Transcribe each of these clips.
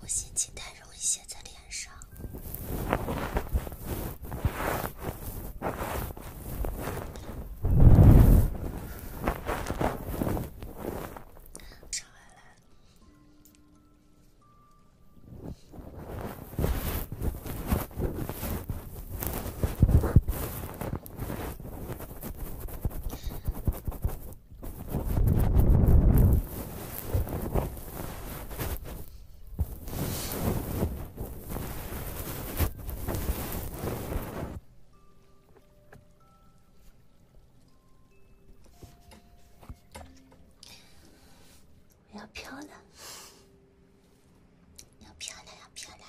我心情太容易写在脸上。我要漂亮，要漂亮，要漂亮。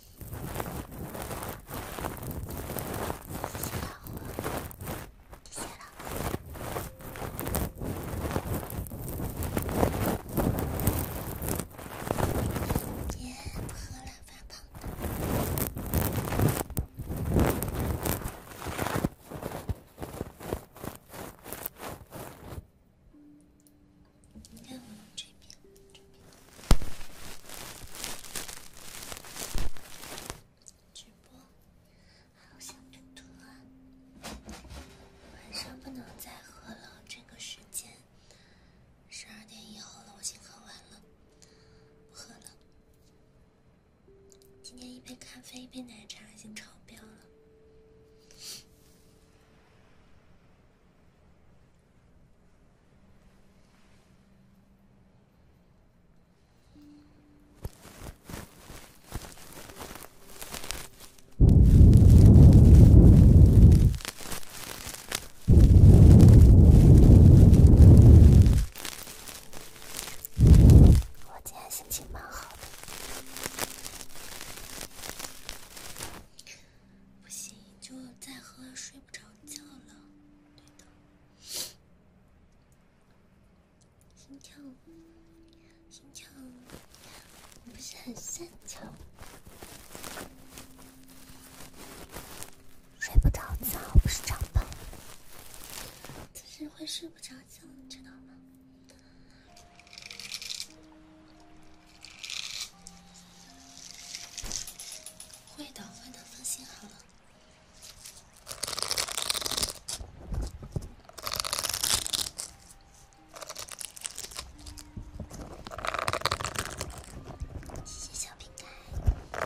别喝了，发直播，好想吐啊！晚上不能再喝了，这个时间，十二点以后了，我先喝完了，不喝了。今天一杯咖啡，一杯奶茶，已经超标了。我今天心情蛮好的，不行，就再喝，睡不着觉了。心跳，心跳，我不是很擅长。睡不着觉不是长胖，只是会睡不着觉，你知道吗？会的，会的，放心好了。谢谢小饼干。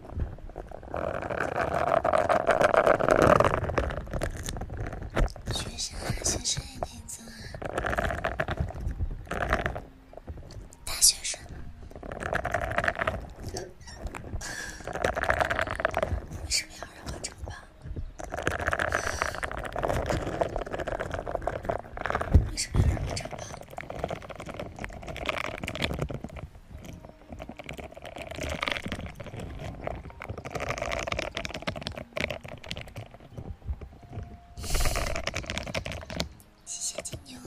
学生还是谁的错？大学生？为什么要让我这么办？为什么要让我这么办？谢谢金牛，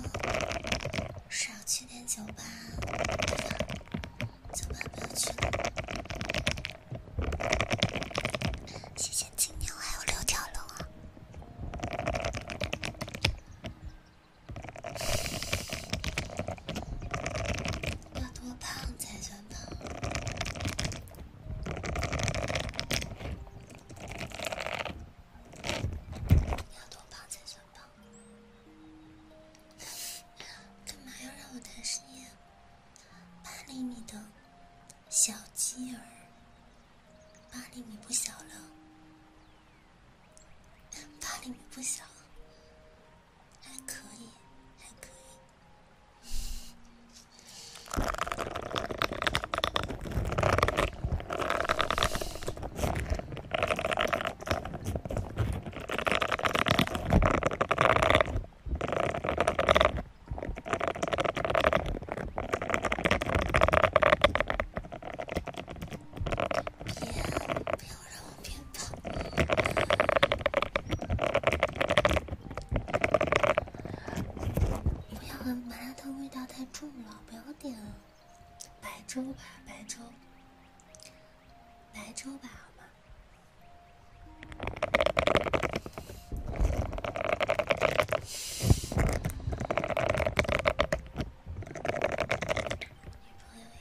少去点酒吧地方，酒吧不要去了。谢谢金牛，还有六条龙啊。要多胖才算胖？要多胖才算胖？干嘛要让我谈事业？八厘米的小鸡儿，八厘米不小了。八厘米不小，还可以，还可以。别，鞭炮。不要，麻辣烫味道太重了，不要点。白粥吧，白粥，白粥吧，好吗？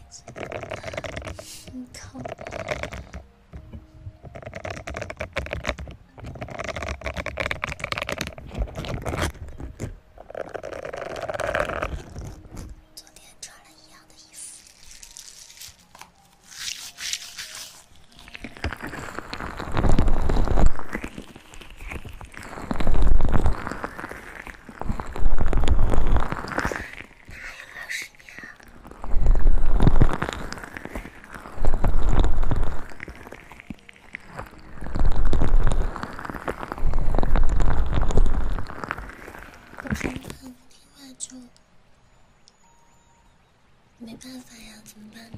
昨天穿了一样的衣服。还有二十我生气不听话就没办法呀，怎么办呢？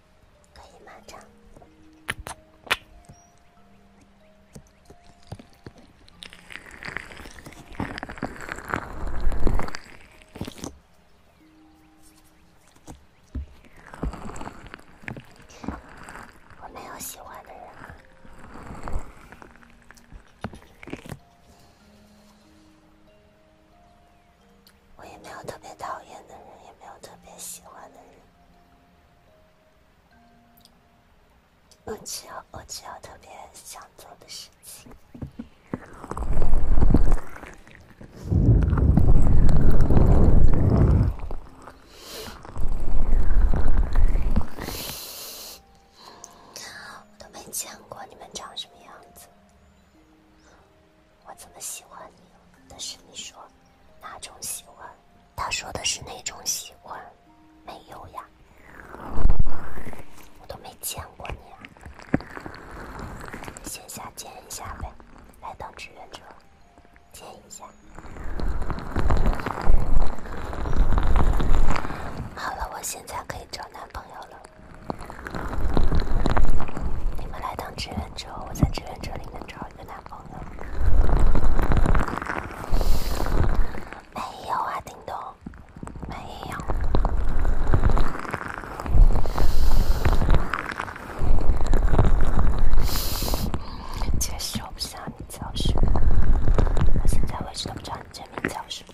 可以慢唱。我没有喜欢的人啊，我也没有特别讨厌的人，也没有特别喜欢的人。我只有我只有特别想做的事情，我都没见过你们长什么样子。我怎么喜欢你了？但是你说哪种喜欢？他说的是那种喜欢，没有呀，我都没见过你啊，线下见一下呗，来当志愿者，见一下。好了，我现在可以找男朋友了，你们来当志愿者，我在志愿者里面找。一个男朋友？没有啊，叮咚，没有。其实我不想你教失。我现在为止都不知道你真名叫什么。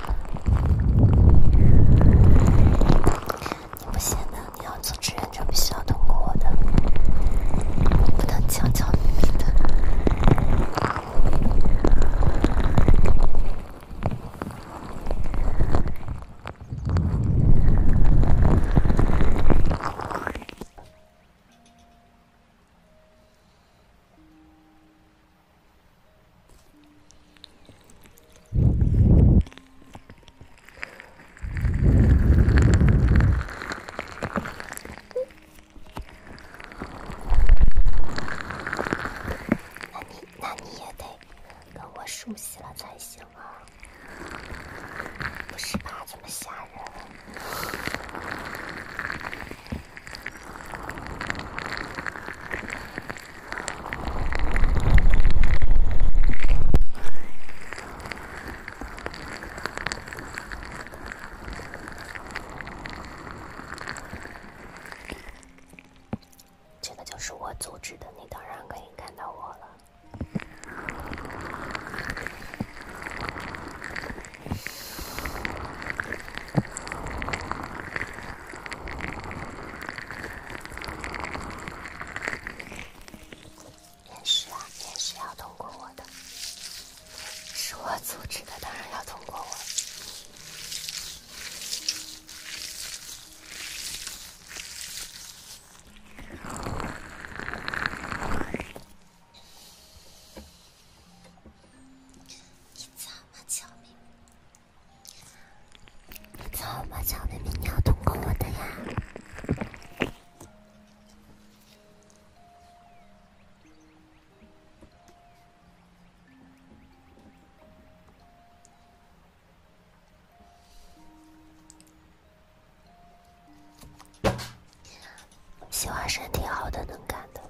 你不行的，你要做志愿就必须要通过我的，你不能强求别人的。什么？什么？你得跟我熟悉了才行啊！不是吧，这么吓人！这个就是我组织的，你当然可以看到我了。面试啊，面试要通过我的，是我组织的，当然要通过我。你怎么狡你怎么狡辩？你要通过我的呀！喜欢身体好的、能干的。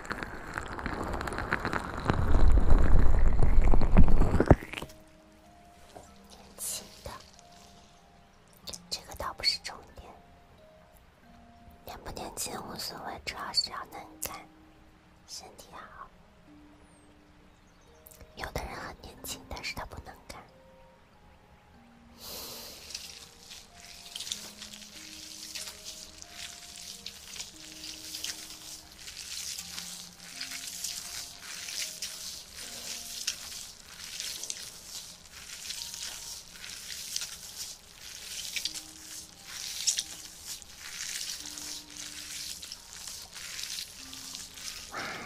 年轻的，这个倒不是重点。年不年轻无所谓，主要是要能干，身体好。有的人很年轻，但是他不能干。哇，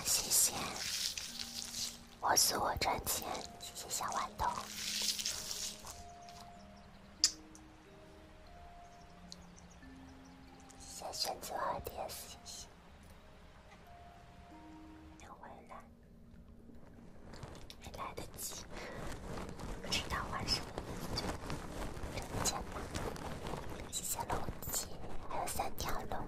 谢谢！我自我赚钱，谢谢小豌豆。先选择 ADS 星星，等回来，没来得及，不知道玩什么，就挣钱吧。谢谢龙姐，还有三条龙。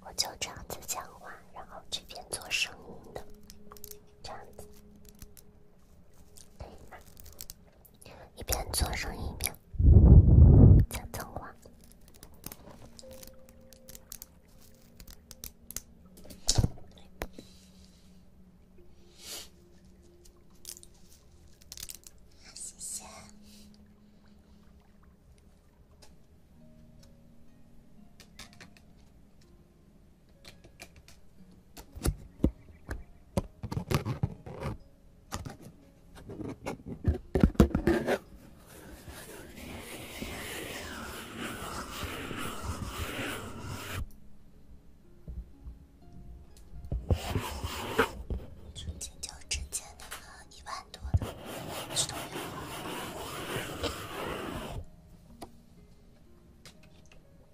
我就这样子讲话，然后这边做声音的，这样子。一边做生意一边讲脏话。谢谢。最就之前那个一万多的，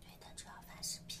对，他主要发视频。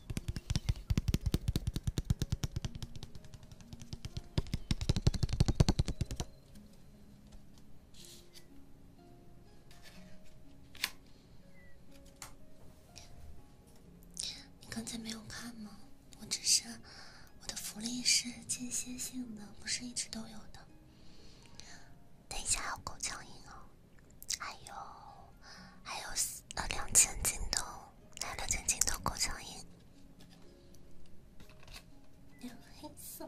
你刚才没有看吗？我只是我的福利是间歇性的，不是一直都有的。等一下有狗叫音哦，还有还有呃两千京东。来了，曾经的孤城影。有黑色。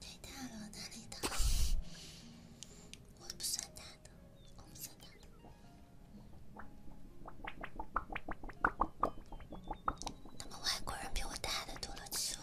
太大了，哪里大？我不算大的，我不算大的。他们外国人比我大的多了去了。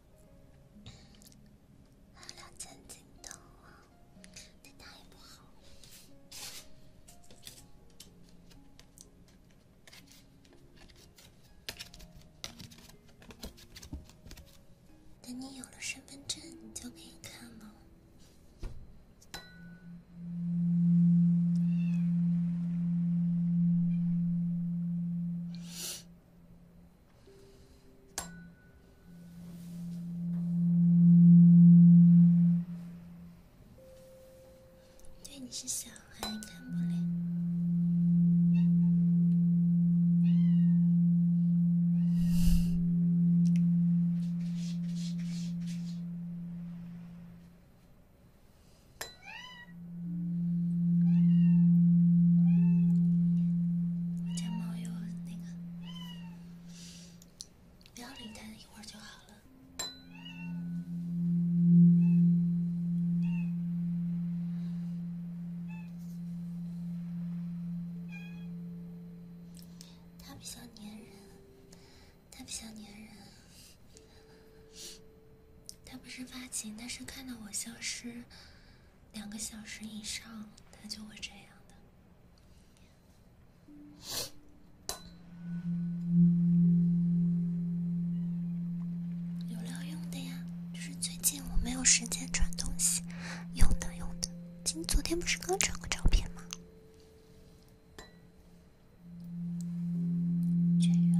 老震惊到我，那太不好。等你有了身份证，你就可以看了。对你是小孩看不了。家猫又那个，不要理它，一会儿就好了。它比较粘人，它比较粘人，它不是发情，但是看到我消失。两个小时以上，他就会这样的。有料用的呀，就是最近我没有时间传东西，用的用的。今昨天不是刚传过照片吗？绝了。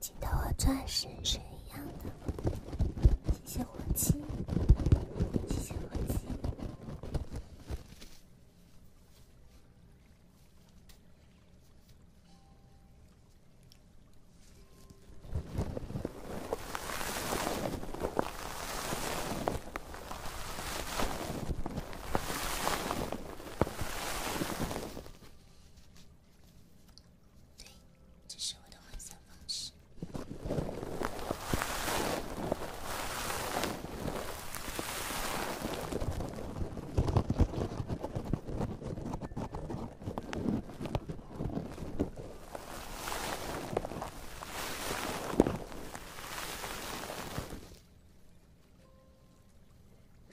镜头和钻石是一样的，谢谢火鸡，谢谢火鸡。对，这是我的幻想方式。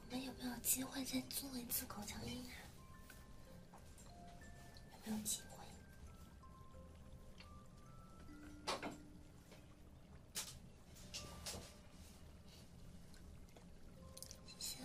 我们有没有机会再做一次口腔糖啊？有没有机会？谢谢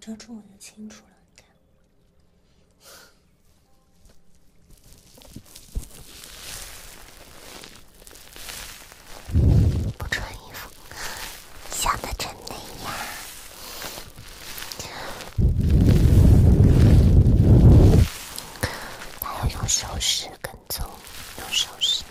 遮住我就清楚了，你看。不穿衣服，想的真美呀！他要用手势跟。走，又收拾。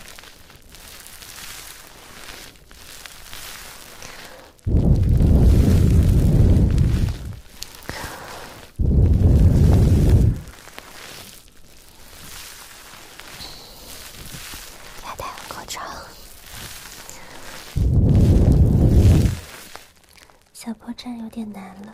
小破站有点难了。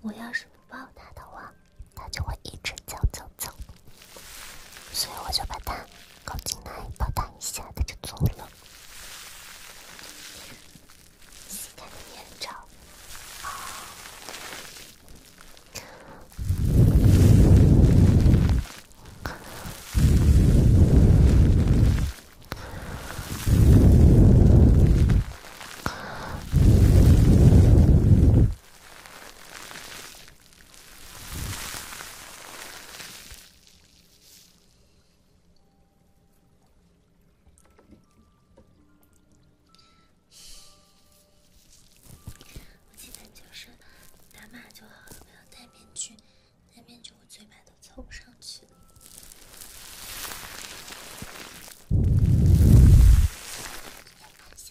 我要是不抱它的话，它就会一直走走走，所以我就把它搞进来抱它一下，它就走了。我记得就是打码就好了，不要戴面具。戴面具我嘴巴都凑不上去。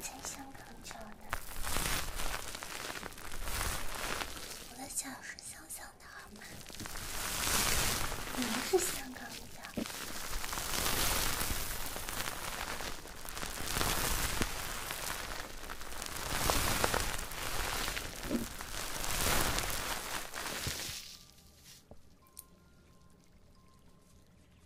在香港叫的，我的脚是香香的好吗？你们是香港脚。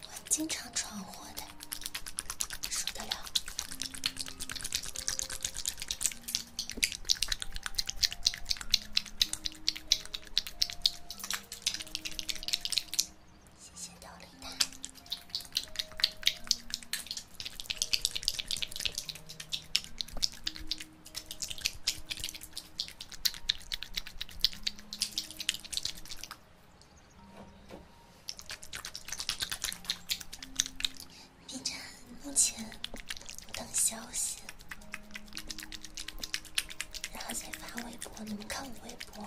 我经常闯祸的，受得了。谢谢豆粒的。B 站目前等消息。然后再发微博，你们看我微博。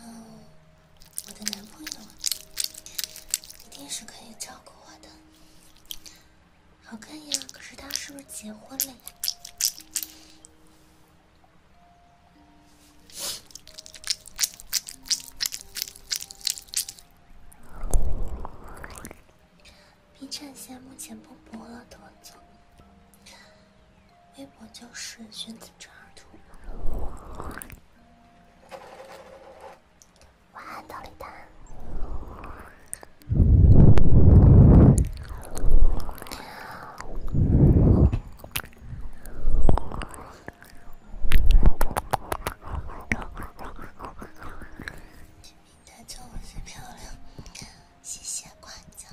嗯，我的男朋友嘛，一定是可以照顾我的。好看呀，可是他是不是结婚了呀？B 站现在目前不播了，德总。微博就是寻子者图了。大家说我是漂亮，谢谢夸奖。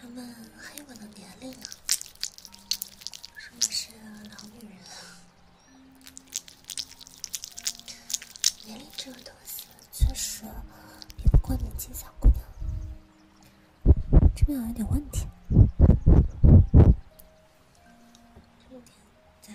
他们黑我的年龄啊，说的是老女人啊。年龄这个东西确实比不过年轻小姑娘。这边有点问题。这边在。